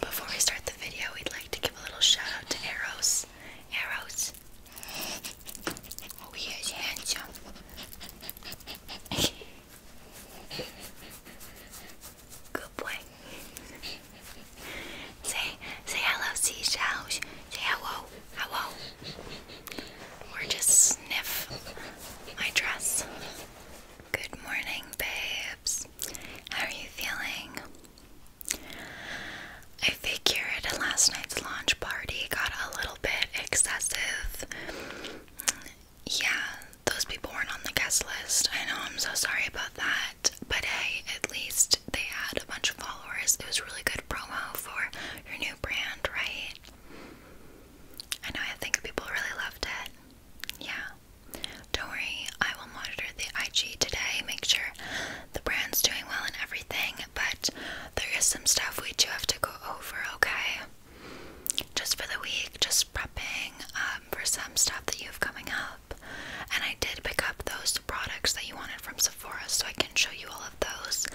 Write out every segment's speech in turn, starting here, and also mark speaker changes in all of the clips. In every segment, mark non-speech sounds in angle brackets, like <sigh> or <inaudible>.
Speaker 1: Before we start the video, we'd like to give a little shout out to Arrows. Arrows, Oh, he is <laughs> Good boy. Say, say hello, seashells. Say hello, hello. Or just sniff my dress. Good morning, babes. How are you feeling? I figured at last night's launch party got a little bit excessive. Yeah, those people weren't on the guest list. I know, I'm so sorry about that. But hey, at least they had a bunch of followers. It was really good promo for your new brand, right? I know, I think people really loved it. Yeah. Don't worry, I will monitor the IG today, make sure the brand's doing well and everything, but there is some stuff we do have to go over, okay? Just for the week, just prepping um, for some stuff that you have coming up. And I did pick up those products that you wanted from Sephora, so I can show you all of those.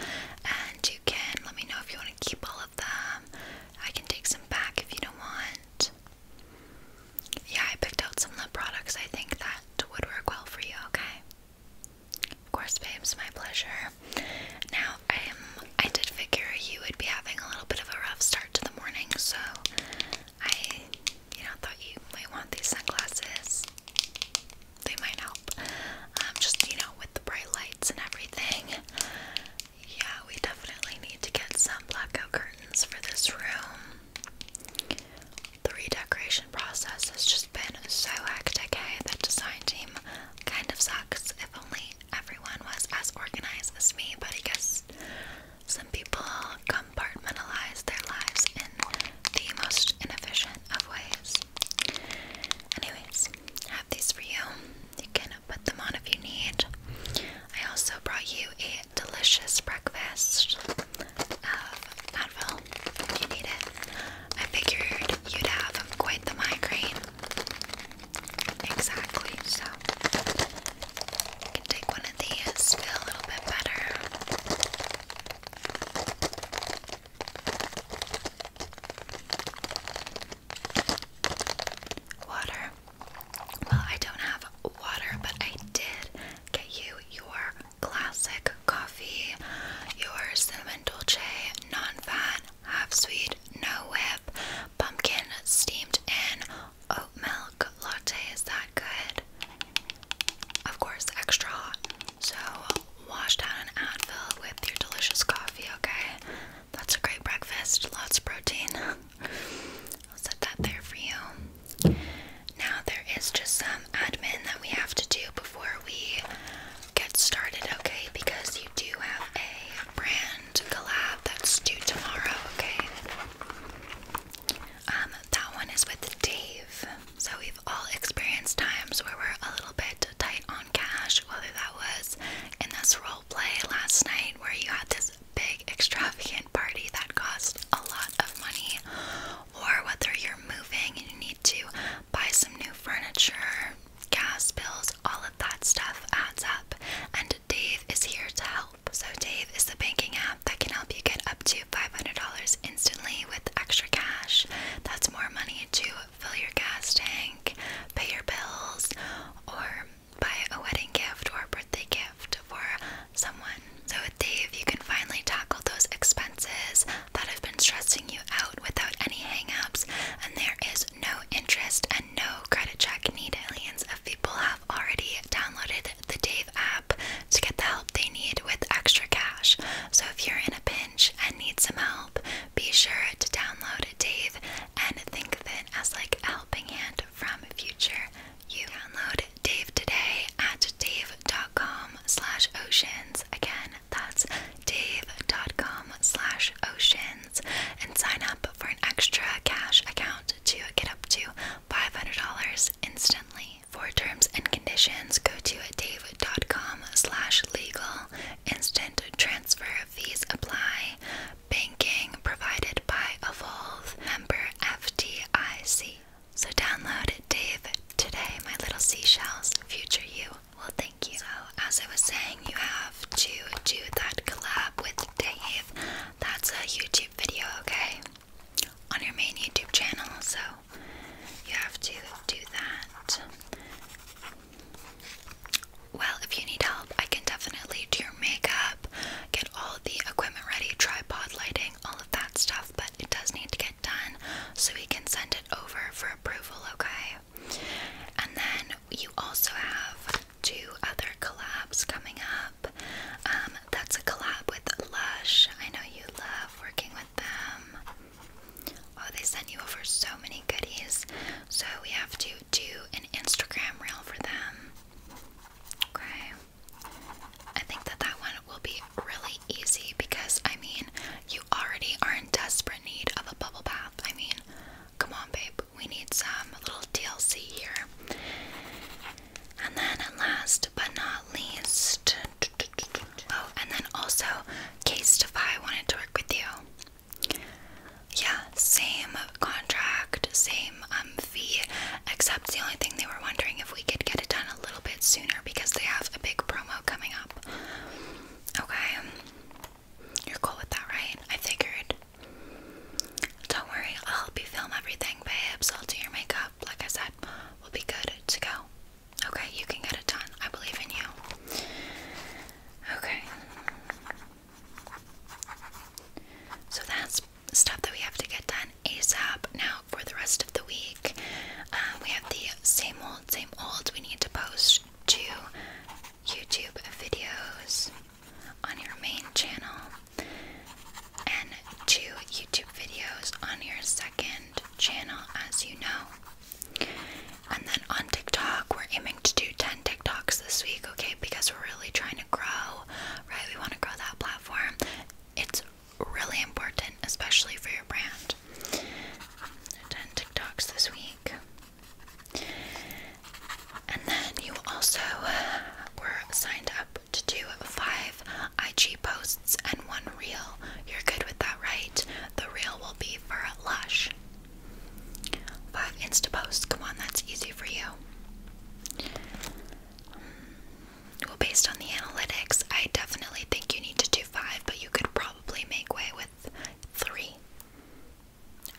Speaker 1: And you can let me know if you want to keep all of them. I can take some back if you don't want. Yeah, I picked out some of the products I think that would work well for you, okay? Of course, babe, it's my pleasure. Now, um, I did figure you would be having a little bit of a rough start to the morning, so I, you know, thought you might want these sunglasses. They might help. Um, just, you know, with the bright lights and everything. Yeah, we definitely need to get some blackout curtains for this room. The redecoration process has just been so hectic, eh? The design team kind of sucks. If only everyone was as organized as me, but I guess some people compartmentalize their lives in the most inefficient of ways. Anyways, have these for you. You can put them on if you need. I also brought you a delicious breakfast Advil you need it. I figured you'd have quite the migraine. Exactly, so you can take one of these, feel a little bit better. Water. Well, I don't have water, but I did get you your classic coffee, your cinnamon dulce non-fat, half sweet, no whip, pumpkin steamed in, oat milk latte. Is that good? Of course, extra So wash down an Advil with your delicious coffee, okay? That's a great breakfast, lots of protein. <laughs> I'll set that there for you. Now, there is just some admin that we have to do before we get started, okay? Because you do have a brand collab that's due tomorrow, okay? Um, that one is with Dave. So, we've all experienced times where we're a little bit tight on cash, whether that was in this role play last night where you had to big extravagant party that cost a lot of money, or whether you're moving and you need to buy some new furniture, gas bills, all of that stuff adds up. And Dave is here to help. So, Dave is the banking app that can help you get up to $500 instantly with extra cash. That's more money to fill your gas tank, pay your bills, or buy a wedding gift or a birthday gift for someone. So with Dave, you can finally tackle those expenses that have been stressing you out without any hangups, and there is no interest and no credit check needed. Millions of people have already downloaded the Dave app to get the help they need with extra cash. So if you're in a pinch and need some help, be sure to download Dave and think of it as like a helping hand Dave from Future You. Download Dave today at dave.com slash oceans. Again, that's dave.com slash oceans. And sign up for an extra cash account to get up to $500 instantly. For terms and conditions, go to dave.com slash legal. Instant transfer fees apply banking provided by Evolve member FDIC. So download Dave today, my little seashells, future you will thank you. So as I was saying, you have to do that collab with Dave. That's a YouTube video, okay? On your main YouTube channel, so you have to do that. Well, if you need help, I can definitely do your makeup, get all the equipment ready, tripod lighting, all of that stuff, but it does need to get done so we can send it over for approval, okay? And then you also have two other collabs coming up. Um, that's a collab with Lush. I know you love working with them. Oh, they sent you over so many goodies. So we have to do an Instagram reel for them. Okay. I think that that one will be really easy because I mean, you already are in desperate need of a bubble bath. I mean, come on, babe, we need some little DLC here. And then, last but not least, oh, and then also, Case Defy wanted to work with you. Yeah, same contract, same um, fee, except the only thing they were wondering if we could get it done a little bit sooner because they have a big promo coming up. Okay. You're cool with that, right? I figured. Don't worry, I'll help you film everything, babes. I'll do your makeup. Like I said, we'll be good to go. Okay, you can get it done. I believe in you. Okay. So that's stuff that we have to get done ASAP. Now, for the rest of the week, uh, we have the same old, same old. We need to post two YouTube videos on your main channel and two YouTube videos on your second channel, as you know. And then on TikTok, we're aiming to do 10 TikToks this week, okay? Because we're really trying to grow, right? We want to grow that platform. It's really important, especially for your brand. 10 TikToks this week. And then you also we are signed up to do five IG posts and one reel. You're good with that, right? The reel will be for Lush. Five Insta posts. Come on, that's easy for you. Well, based on the analytics, I definitely think you need to do five, but you could probably make way with three.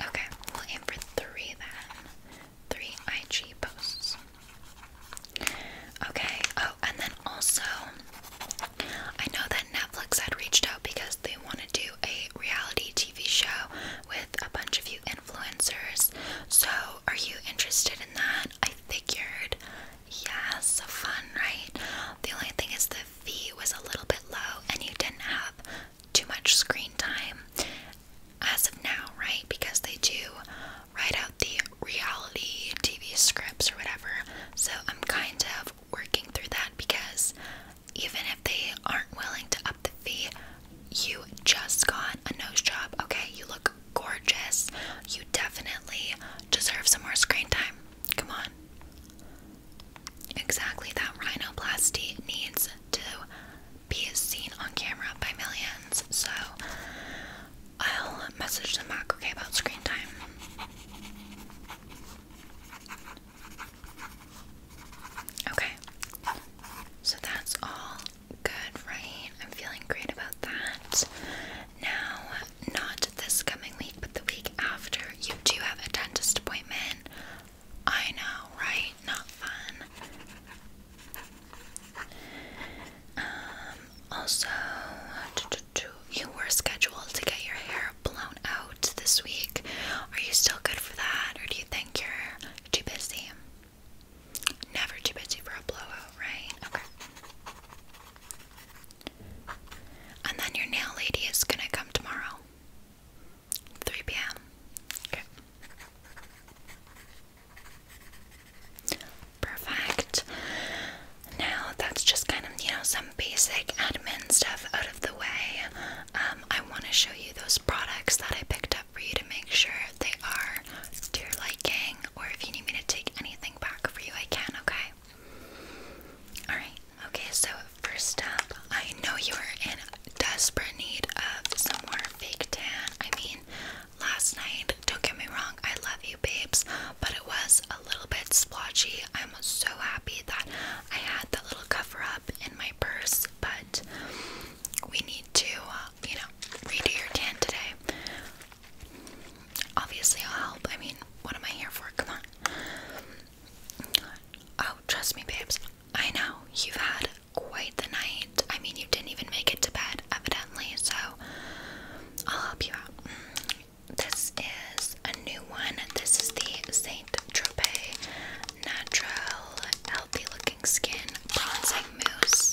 Speaker 1: Okay, we'll aim for three then. Three IG posts. Okay, oh, and then also, I know that Netflix had reached out because they want to do a reality TV show with a bunch of you influencers. So, are you interested in that? I figured. Yes, fun, right? The only thing is the fee was a little bit low and you didn't have too much screen time as of now, right? Because they do write out the reality TV scripts or whatever. So, I'm kind of working through that because even if they aren't willing to up the fee, you just got a nose job, okay? You look gorgeous. You definitely deserve some more screen time. Come on. Exactly, that rhinoplasty needs to be seen on camera by millions. So I'll message the Mac, okay, about screen time. Okay. So that's all good, right? I'm feeling great about that. Now, not this coming week, but the week after, you do have a dentist appointment. I know, right? Not fun. Um, also, <tsk> you were scheduled to get your hair blown out out this week. Are you still good for that, or do you think you're too busy? Never too busy for a blowout, right? Okay. And then your nail lady is gonna come tomorrow, 3 p.m. Okay. Perfect. Now that's just kind of, you know, some basic admin stuff out of the way um, I want to show you those products that I picked up for you to make sure they are to your liking, or if you need me to take anything back for you, I can, okay? Alright, okay, so first up, I know you are in desperate need of some more fake tan. I mean, last night, don't get me wrong, I love you, babes, but it was a little bit splotchy. I'm so happy that I had that little cover up in my purse, but we need to, uh, you know, redo your tan today. Obviously, I'll help. I mean, what am I here for? Come on. Oh, trust me, babes. I know you've had quite the night. I mean, you didn't even make it to bed, evidently, so I'll help you out. Mm. This is a new one. This is the St. Tropez Natural Healthy Looking Skin Bronzing Mousse.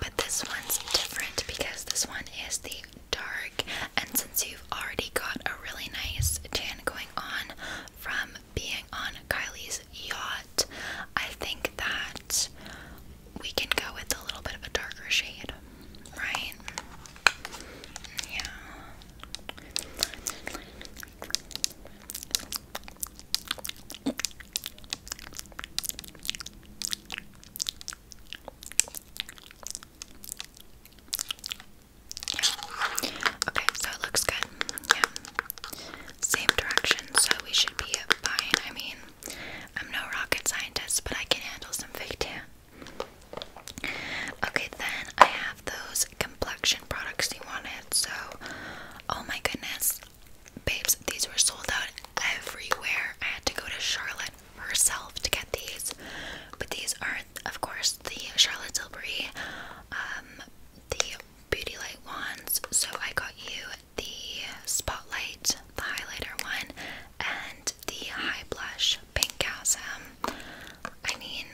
Speaker 1: But this one's different because this one is the dark, and since you've already got a really nice tan going on from being on Kylie's yacht, I think that we can go with a little bit of a darker shade, right? Yeah. Okay, so it looks good. Yeah. Same direction, so we should be fine. I mean, I'm no rocket scientist, but I can handle some fake tan. Okay, then I have those complexion products you wanted. So, oh my goodness, babes, these were sold out everywhere. I had to go to Charlotte herself to get these. But these are, of course, the Charlotte Tilbury, um, the Beauty Light wands. So I got you the Spotlight, the highlighter one, and the High Blush Pink Gasm. Um, I mean,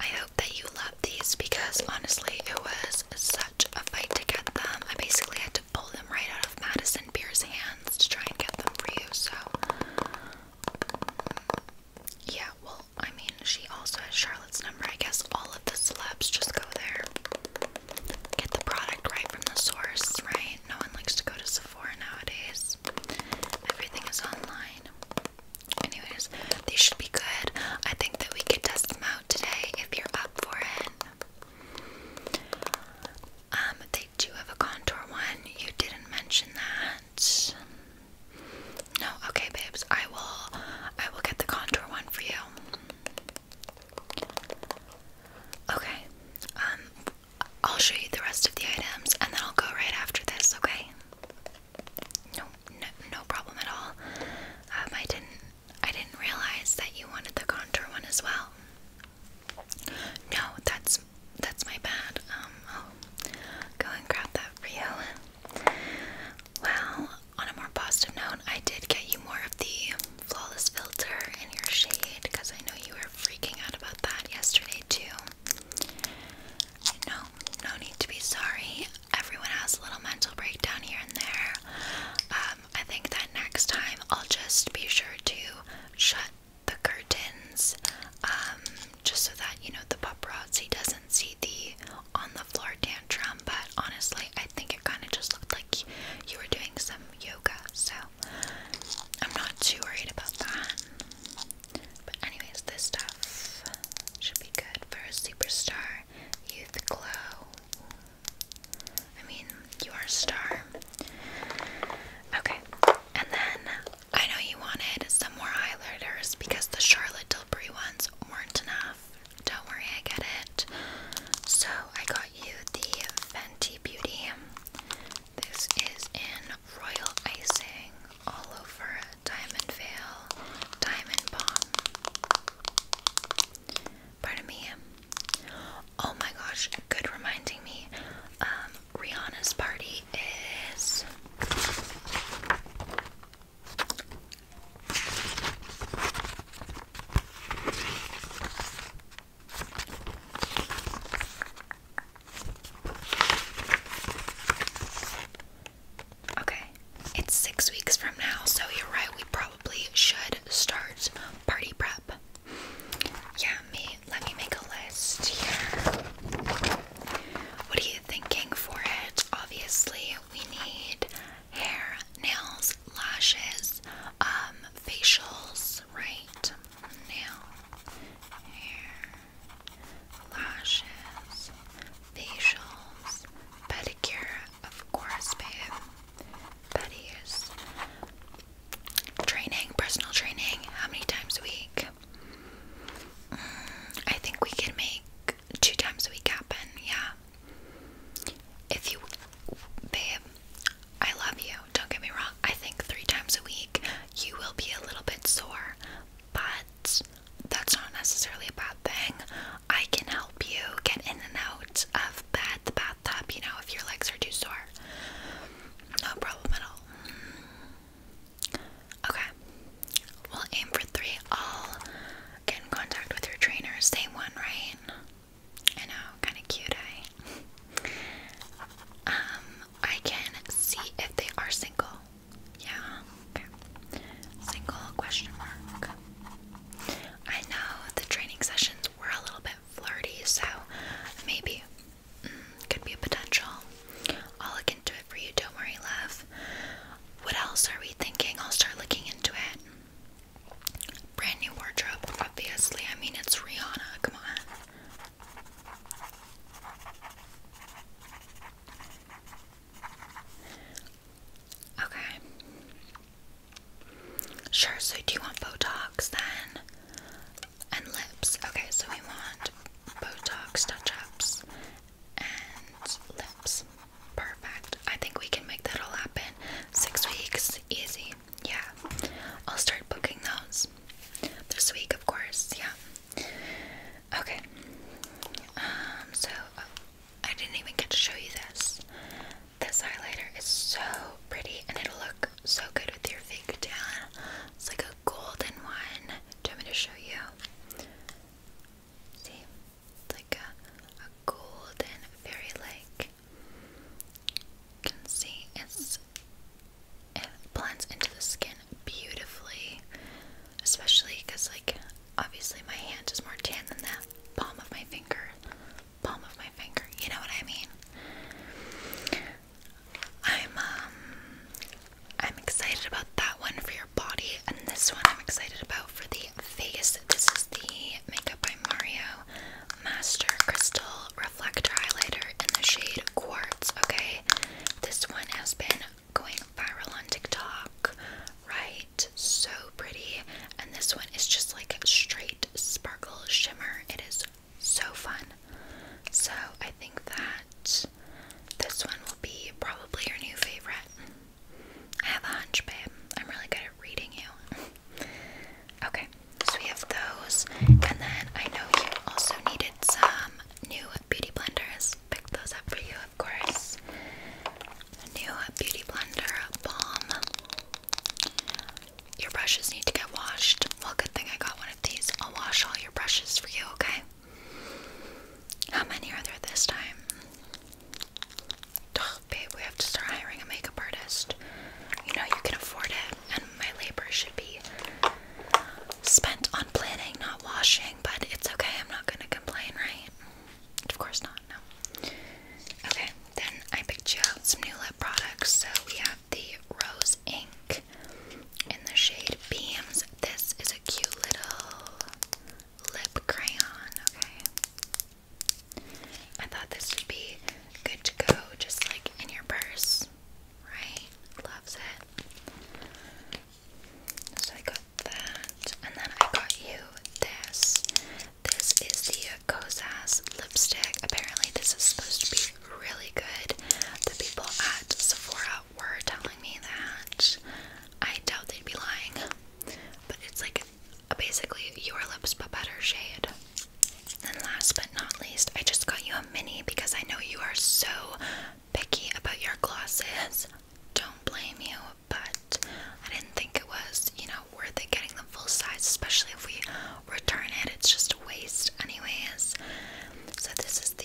Speaker 1: I hope that you love these because honestly, it was such a fight to get them. I basically had to pull them right out of Madison Beer's hands to try and get them for you. So, yeah, well, I mean, she also has Charlotte's number. I guess all of the celebs just go there. Get the product right from the source, right? No one likes to go to Sephora nowadays. Everything is online. Anyways, these should be good. I think that we could test them out today if you're up for it. Um, they do have a contour one. You didn't mention that. No, okay, babes. I will I will get the contour one for you. Okay. Um I'll show you the rest of the items and then I'll go right after this, okay? no, no, problem at all. Um, I didn't, I didn't realize that you wanted the contour one as well. No, that's that's my bad. Um, go and grab that for you. Well, on a more positive note, I did get you more of the flawless filter in your shade because I know you were freaking out about that yesterday too. No, no need to be sorry. Everyone has a little mental breakdown here and there. Um, I think that next time I'll just be sure to shut the curtains, um, just so that you know the paparazzi doesn't see the on the floor tantrum. But honestly, I think it kind of just looked like you were doing some yoga, so I'm not too worried about that. But anyways, this stuff should be good for a superstar youth glow. I mean, you are a star. Okay, and then I know you wanted some more highlighters because the Charlotte Tilbury ones weren't enough. Don't worry, I get it. So I got you the Fenty Beauty this is in Royal Icing, all over Diamond Veil, Diamond Bomb. Pardon me. Oh my gosh, good reminding me. Um, Rihanna's party is. Okay, it's six weeks from now, so you're right, we probably should start party prep. Yeah, me, let me make a list here. What are you thinking for it? Obviously, we need hair, nails, lashes, um, facials, right? now, hair, lashes, facials, pedicure, of course, babe, petties, training, personal training, how many times a week? Mm, I think we can make two times a week happen, yeah. If you, babe, I love you, don't get me wrong, I think three times a week you will be a little bit sore, but that's not necessarily a bad thing. I can help you get in and out of bed, the bathtub, you know, if your legs are too sore. No problem at all. Mm. Okay, we'll aim for three. I'll get in contact with your trainer. Same one, right? I know, kind of cute, eh? <laughs> Um, I can see if they are single. Yeah, Single question mark. I know the training sessions were a little bit flirty, so maybe mm, could be a potential. I'll look into it for you, don't worry, love. What else are we thinking? I'll start looking into it. Brand new wardrobe, obviously. I mean, it's Rihanna, come on. Okay. Sure, so do you want Botox then? And lips. Okay, so we want Botox touch ups and lips. Perfect. I think we can make that all happen. Six weeks, easy. Yeah. I'll start booking those. This week, of course, yeah. Okay. Um, so oh, I didn't even get to show you this. This highlighter is so pretty and it'll look so good with your fake tan. It's like a golden one. Do you want to show you? See? It's like a, golden, very like you can see it's it blends into the skin beautifully, especially because, like, obviously my hand is more tan than that palm of my finger. Palm of my finger, you know what I mean? I'm um, I'm excited about that one for your body and this one I'm excited about for the face. This is the Makeup by Mario Master Crystal reflector highlighter in the shade Quartz, okay? This one has been going viral on TikTok, right? So pretty. And this one is just like straight sparkle shimmer. It is so fun. So I think that this one will be probably your new favorite. I have a hunch, babe. I'm really good at reading you. <laughs> okay, so we have those. And then I know you also needed some new beauty blenders. Picked those up for you, of course. new beauty blender balm. Your brushes need to get washed. Well, good thing I got one of these. I'll wash all your brushes for you, okay? How many are there this time? Oh, babe, we have to start hiring a makeup artist. You know, you can afford it, and my labor should be spent on planning, not washing, but it's okay. I'm not gonna complain, right? Of course not, no. Okay, then I picked you out some new lip products. So we have the Rose Ink in the shade Beams. This is a cute little lip crayon, okay? I thought this would be good to go just like in your purse right? Loves it. So I got that, and then I got you this. This is the Kozas lipstick. Apparently, this is supposed to be really good. The people at Sephora were telling me that. I doubt they'd be lying, but it's like basically your lips but better shade. And last but not least, I just got you a Mini, because I know you are so picky about your glosses. Don't blame you, but I didn't think it was, you know, worth it getting the full size, especially if we return it. It's just a waste, anyways. So, this is the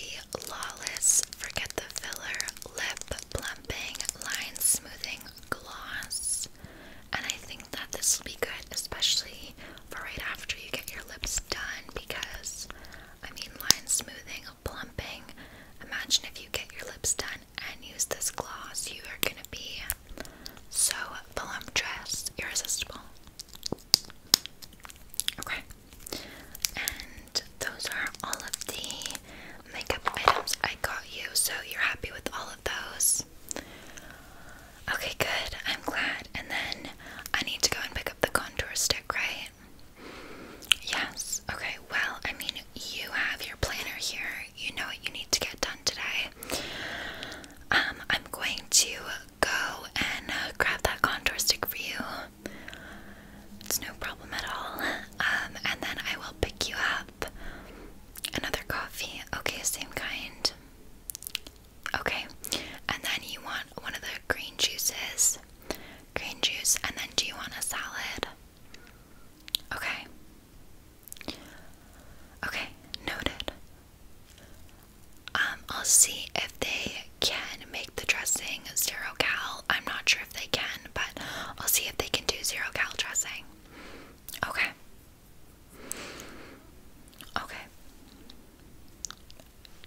Speaker 1: Lawless Forget the Filler Lip Plumping Line Smoothing Gloss. And I think that this will be good, especially right after you get your lips done because I mean line smoothing, plumping. Imagine if you get your lips done and use this gloss, you are gonna be so voluptuous, irresistible. Okay, and those are all of the makeup items I got you, so you're happy with all of those. Okay, good. I'm glad. And then I need to go and pick the contour stick, right? Yes. Okay, well, I mean, you have your planner here. You know what you need to get done today. Um, I'm going to go and uh, grab that contour stick for you. It's no problem at all. Um, and then I will pick you up. Another coffee. Okay, same kind. Okay, and then you want one of the green juices, green juice, and then do you want a salad? Okay. Okay, noted. Um, I'll see if they can make the dressing zero cal. I'm not sure if they can, but I'll see if they can do zero cal dressing. Okay. Okay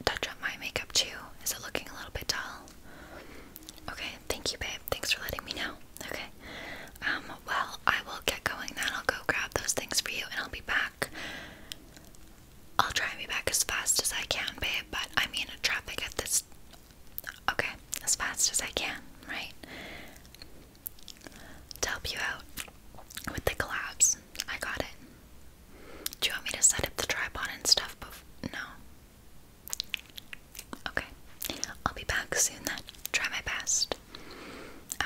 Speaker 1: touch up my makeup too. Is it looking a little bit dull? Okay, thank you, babe. Thanks for letting me know. Okay. Um, well, I will get going then. I'll go grab those things for you and I'll be back. I'll try and be back as fast as I can, babe, but I mean, traffic at this. Okay, as fast as I can, right? To help you out with the collapse, I got it. Do you want me to set up the tripod and stuff? Before? No. Okay. I'll be back soon then. Try my best.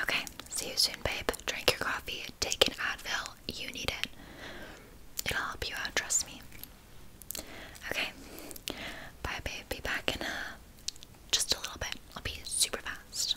Speaker 1: Okay. See you soon, babe. Drink your coffee. Take an Advil. You need it. It'll help you out. Trust me. Okay. Bye, babe. Be back in a, uh, just a little bit. I'll be super fast.